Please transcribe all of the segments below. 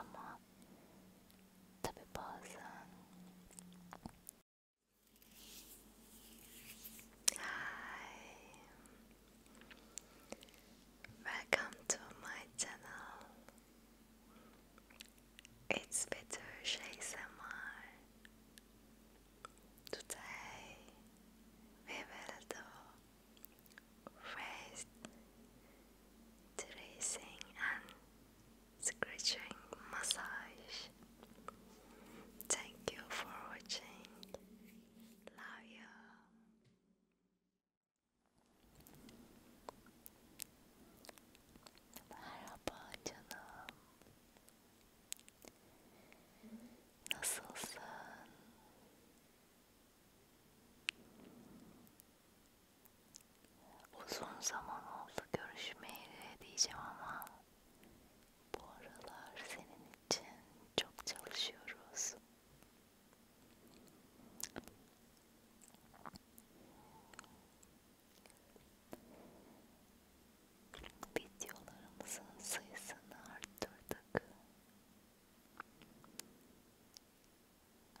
ama tabi Hi Welcome to my channel it's Betüş ASMR. Today we will do face tracing and scratching massage. Thank you for watching. Love you. Merhaba canım. Nasılsın? Uzun zaman oldu görüşmeyeli diyeceğim ama bu aralar senin için çok çalışıyoruz videolarımızın sayısını arttırdık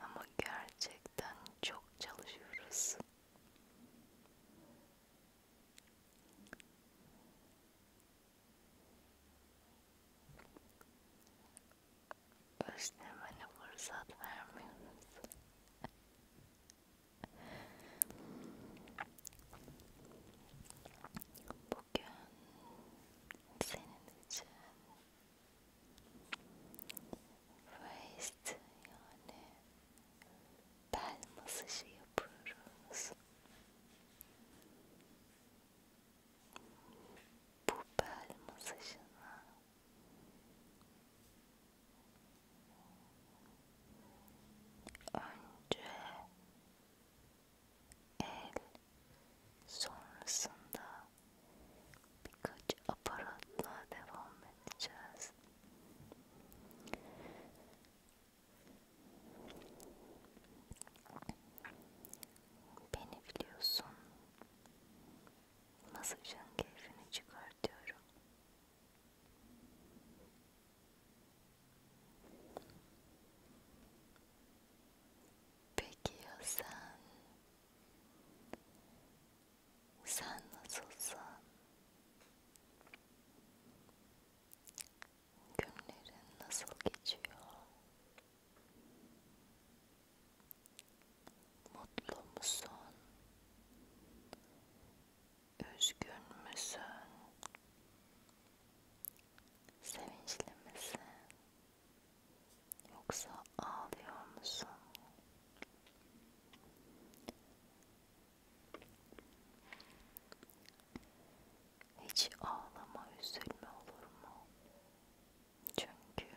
ama gerçekten çok çalışıyoruz Özlemene fırsat vermiyoruz. Bugün senin için waist yani bel masajı yapıyoruz. Bu bel masajına önce el sonrasında birkaç aparatla devam edeceğiz. Beni biliyorsun masajın keyfini çıkartıyorum. Peki ya sen? Sen nasılsın? Günlerin nasıl geçiyor? Mutlu musun? Üzgün müsün? Sevinçli misin? Yoksa ağlıyor musun? Hiç ağlama, üzülme olur mu? Çünkü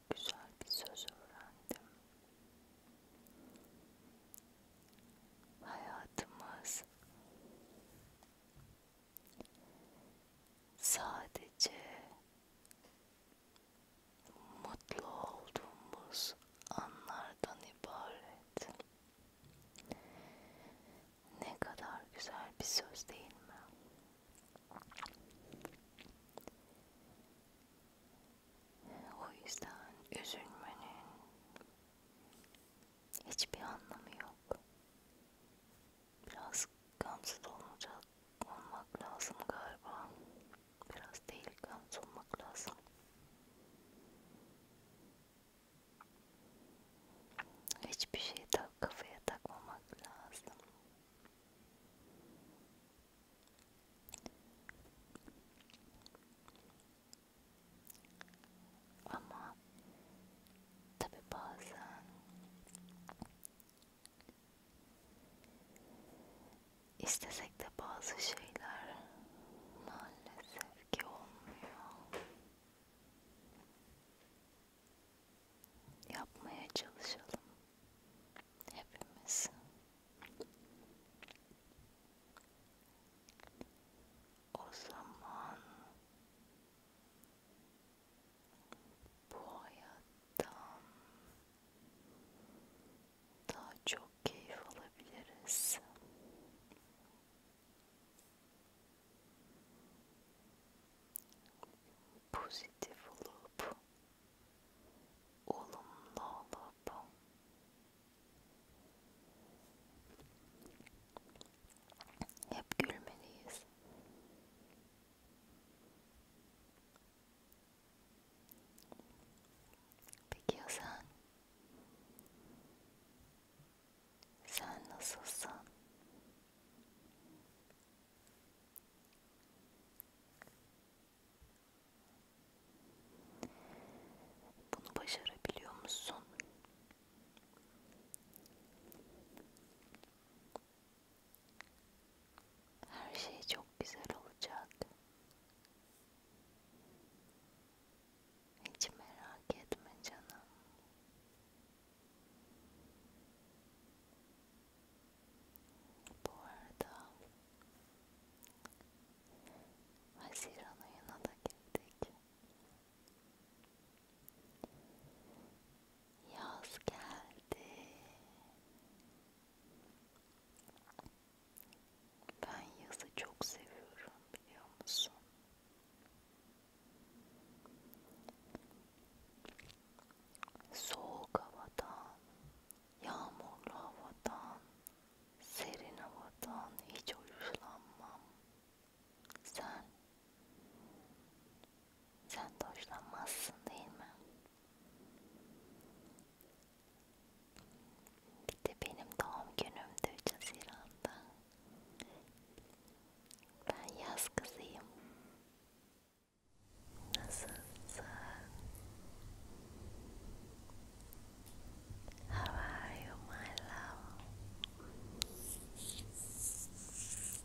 güzel bir söz öğrendim. Hayatımız sadece mutlu olduğumuz anlardan ibaret. Ne kadar güzel bir söz değil mi? O yüzden üzülmenin hiçbir anlamı yok. Biraz gamsız olacak olmak lazım galiba. Biraz değil gamsız olmak lazım. Hiçbir şey tak kafaya takmamak lazım. Ama tabi bazen istesek de bazı şeyler maalesef ki olmuyor. Yapmaya çalışalım hepimiz o zaman bu hayattan daha çok keyif alabiliriz. Pozitif olup olumlu olup hep gülmeliyiz. Peki ya sen? Sen nasılsın? Bunu başarabiliyor musun? Her şey çok güzel olacak. Hiç merak etme canım. Bu arada Haziran ayına da girdik. Yaz geldi. Ben yazı çok seviyorum biliyor musun? Soğuk havadan Yağmurlu havadan, serin havadan hiç hoşlanmam. Sen, sen de hoşlanmazsın değil mi? Bir de benim doğum günümde 3 Haziran'da. Ben yaz kızıyım. 先生，先生，How are you, my love? 先生。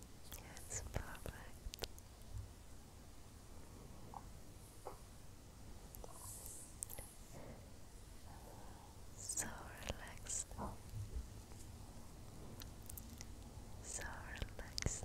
Yes, perfect. So relaxed. So relaxed. So relaxed.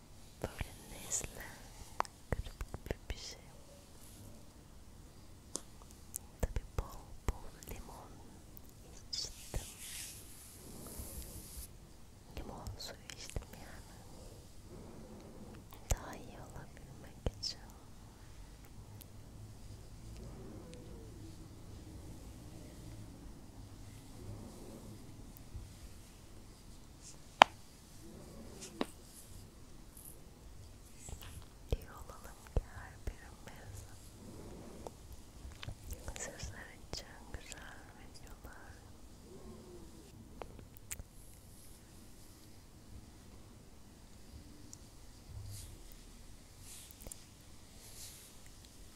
Polenizle kırıp bir şey. Tabi bol bol limon içtim. Limon suyu içtim yani. Daha iyi olabilmek için. İyi olalım ki her birimiz sizler için güzel videolar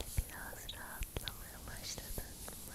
Biraz rahatlamaya başladın mı?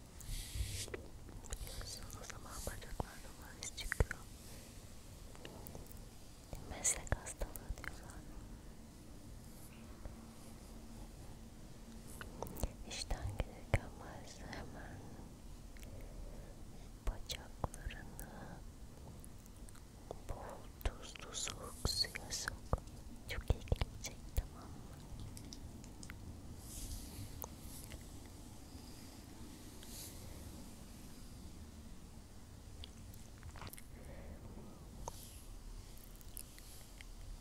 Biliyorsun o zaman bacaklarda varis çıkıyor. Meslek hastalığı diyorlar. İşten gelirken varis hemen bacaklarını bol tuzlu soğuk suya sok. Çok iyi gelecek tamam mı?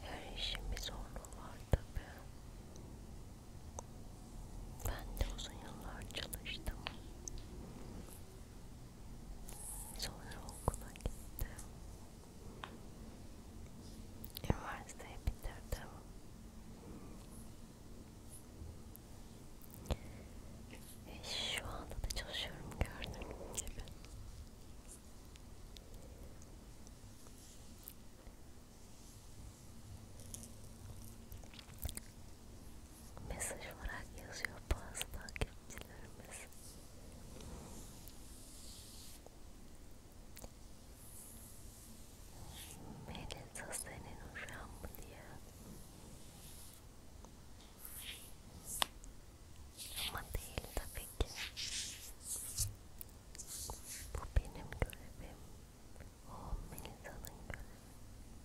Her işin bir zorluğu var tabi. Ben de uzun yıllar çalıştım. Sonra okula gittim. Üniversiteyi bitirdim. E şu anda da çalışıyorum gördüğünüz gibi. Mesaj olarak yazıyor bazı takipçilerimiz. Melisa senin uşağın mı diye. Ama değil tabii ki. Bu benim görevim. O Melisa'nın görevi.